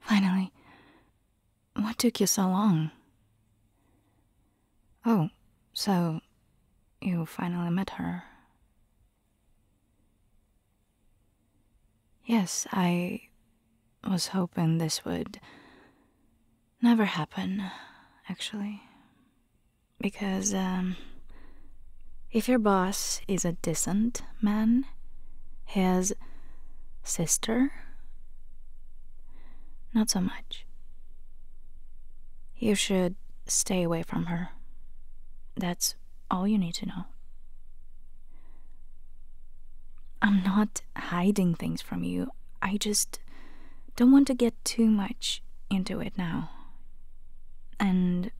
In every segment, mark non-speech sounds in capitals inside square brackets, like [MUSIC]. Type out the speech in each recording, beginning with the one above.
Finally, what took you so long? Oh, so you finally met her. Yes, I was hoping this would never happen, actually. Because, um, if your boss is a decent man, his sister, not so much. You should stay away from her. That's all you need to know. I'm not hiding things from you. I just don't want to get too much into it now. And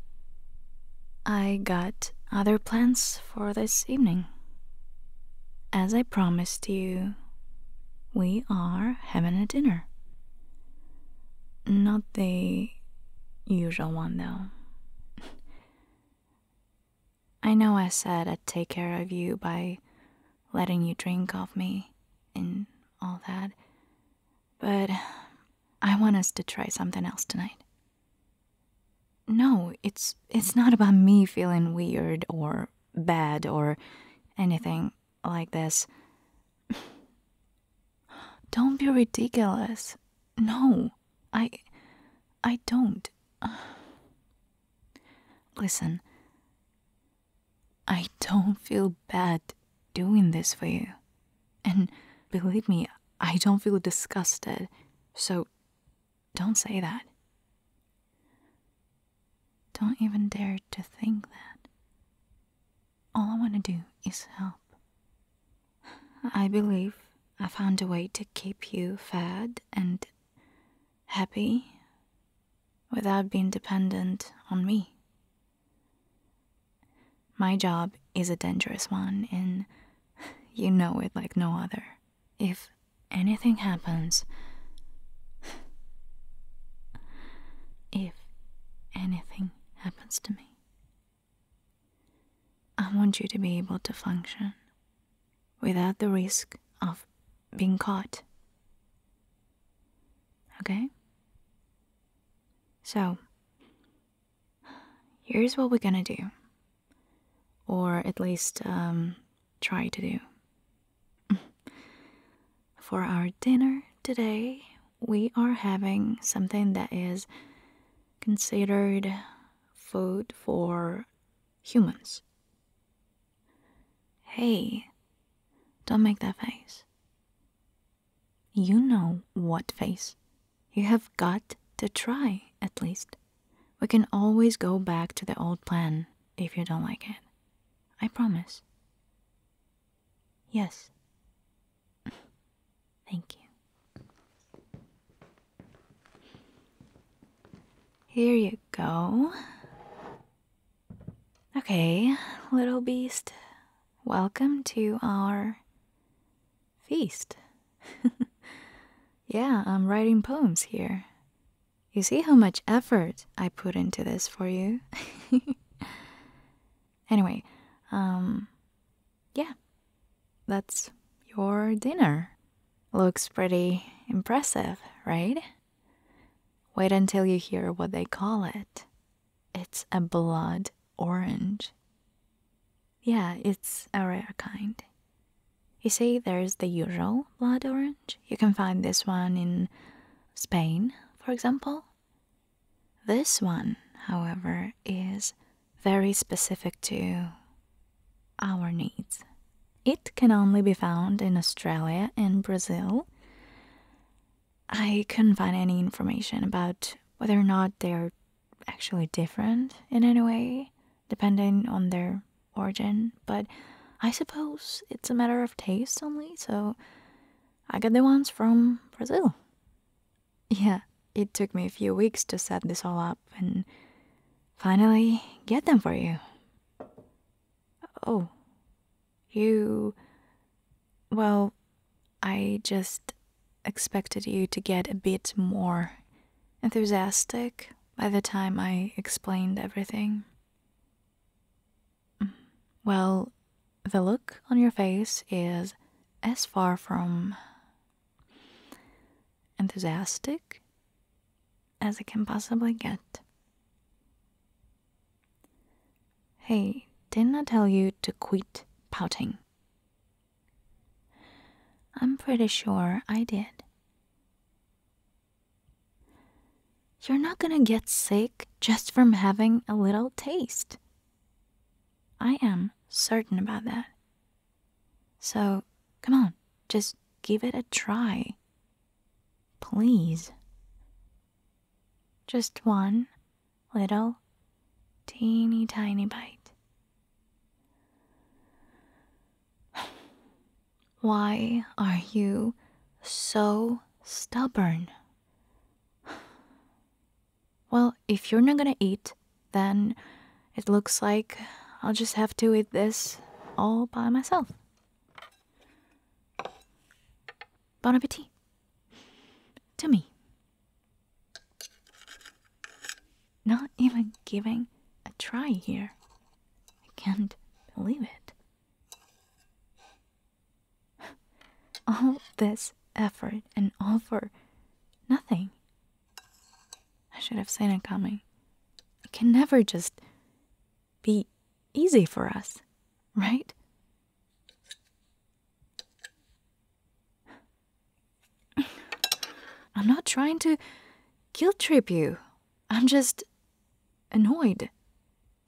I got other plans for this evening. As I promised you, we are having a dinner. Not the usual one, though. [LAUGHS] I know I said I'd take care of you by letting you drink off me and all that, but I want us to try something else tonight. No, it's it's not about me feeling weird or bad or anything like this. [SIGHS] don't be ridiculous. No. I I don't. [SIGHS] Listen. I don't feel bad doing this for you. And believe me, I don't feel disgusted, so don't say that. Don't even dare to think that. All I want to do is help. I believe I found a way to keep you fed and happy without being dependent on me. My job is a dangerous one, and you know it like no other. If anything happens, if anything happens to me, I want you to be able to function without the risk of being caught. Okay? So, here's what we're gonna do. Or at least, um, try to do. [LAUGHS] For our dinner today, we are having something that is considered food for humans. Hey, don't make that face. You know what face you have got to try, at least. We can always go back to the old plan if you don't like it. I promise. Yes. [LAUGHS] Thank you. Here you go. Okay, little beast, welcome to our feast. [LAUGHS] yeah, I'm writing poems here. You see how much effort I put into this for you? [LAUGHS] anyway, um, yeah, that's your dinner. Looks pretty impressive, right? Wait until you hear what they call it. It's a blood orange. Yeah, it's a rare kind. You see, there's the usual blood orange. You can find this one in Spain, for example. This one, however, is very specific to our needs. It can only be found in Australia and Brazil. I couldn't find any information about whether or not they're actually different in any way, depending on their origin, but I suppose it's a matter of taste only, so I got the ones from Brazil. Yeah, it took me a few weeks to set this all up and finally get them for you. Oh, you. Well, I just expected you to get a bit more enthusiastic by the time I explained everything. Mm, well, the look on your face is as far from enthusiastic as it can possibly get. Hey, didn't I tell you to quit pouting? I'm pretty sure I did. You're not gonna get sick just from having a little taste. I am certain about that. So, come on, just give it a try. Please. Just one little teeny tiny bite. Why are you so stubborn? Well, if you're not gonna eat, then it looks like I'll just have to eat this all by myself. Bon appetit. To me. Not even giving a try here. I can't believe it. [LAUGHS] All this effort and all for nothing. I should have seen it coming. It can never just be easy for us, right? I'm not trying to guilt trip you. I'm just annoyed.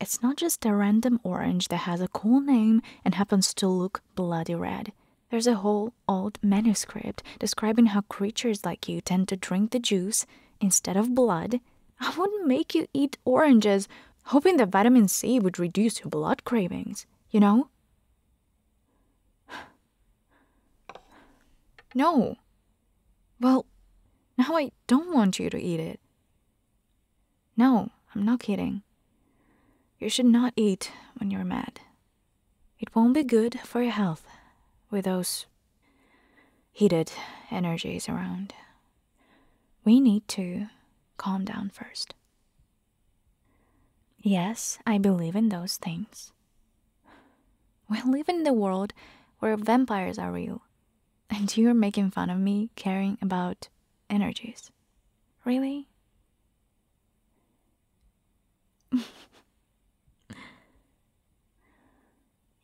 It's not just a random orange that has a cool name and happens to look bloody red. There's a whole old manuscript describing how creatures like you tend to drink the juice instead of blood. I wouldn't make you eat oranges, hoping that vitamin C would reduce your blood cravings, you know? No. Well, now I don't want you to eat it. No, I'm not kidding. You should not eat when you're mad. It won't be good for your health with those heated energies around. We need to calm down first. Yes, I believe in those things. We live in the world where vampires are real, and you're making fun of me caring about energies. Really? [LAUGHS]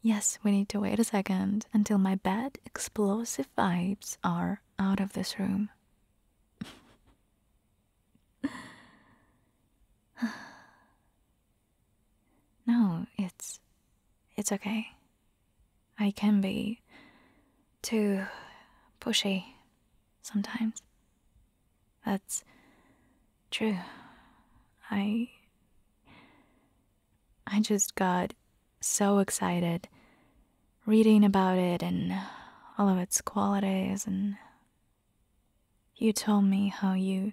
yes, we need to wait a second until my bad explosive vibes are out of this room. [LAUGHS] [SIGHS] no, it's it's okay. I can be too pushy sometimes. That's true. I I just got so excited reading about it and all of its qualities and you told me how you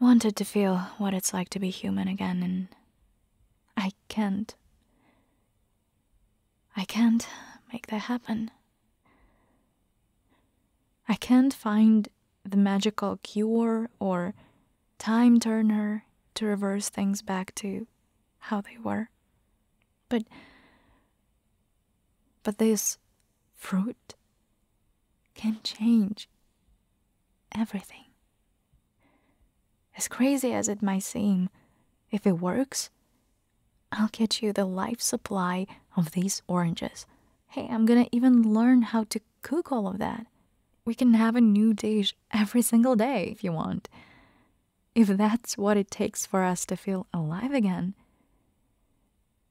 wanted to feel what it's like to be human again, and I can't. I can't make that happen. I can't find the magical cure or time turner to reverse things back to how they were. But but this fruit can change everything. As crazy as it might seem, if it works, I'll get you the life supply of these oranges. Hey, I'm gonna even learn how to cook all of that. We can have a new dish every single day if you want if that's what it takes for us to feel alive again,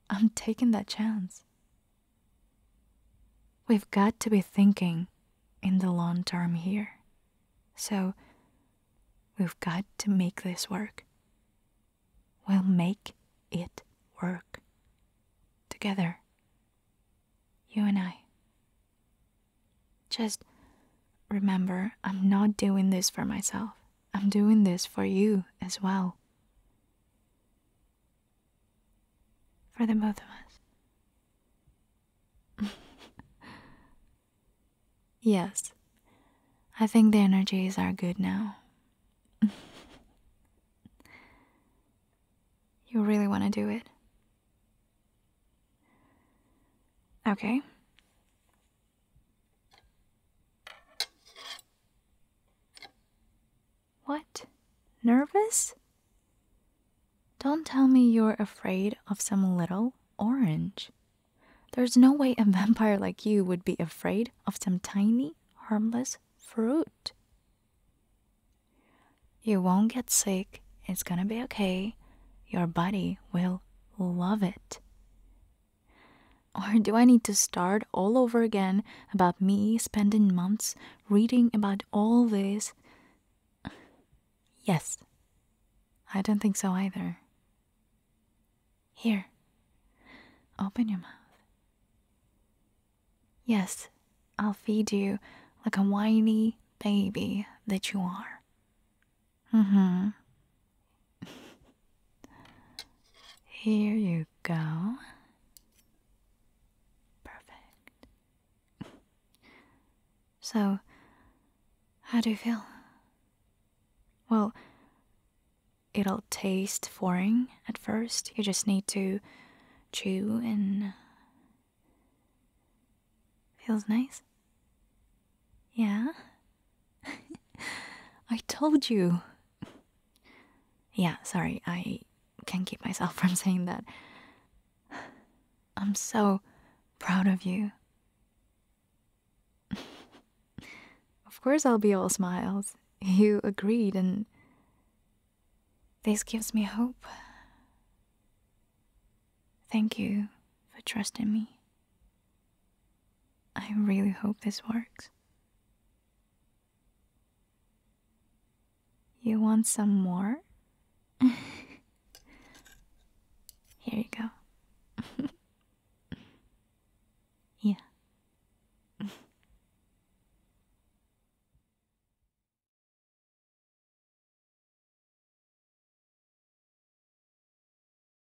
I'm taking that chance. We've got to be thinking in the long term here. So, we've got to make this work. We'll make it work. Together. You and I. Just remember, I'm not doing this for myself. I'm doing this for you as well. For the both of us. [LAUGHS] yes, I think the energies are good now. [LAUGHS] you really want to do it? Okay. What? Nervous? Don't tell me you're afraid of some little orange. There's no way a [LAUGHS] vampire like you would be afraid of some tiny, harmless fruit. You won't get sick. It's gonna be okay. Your body will love it. Or do I need to start all over again about me spending months reading about all this? Yes. I don't think so either. Here. Open your mouth. Yes, I'll feed you like a whiny baby that you are. Mm-hmm. [LAUGHS] Here you go. Perfect. So, how do you feel? Well, it'll taste foreign at first. You just need to chew and uh, feels nice. Yeah. [LAUGHS] I told you. yeah, sorry, I can't keep myself [LAUGHS] from saying that. I'm so proud of you. of course, I'll be all smiles. You agreed, and this gives me hope. Thank you for trusting me. I really hope this works. You want some more? [LAUGHS] Here you go. [LAUGHS] yeah.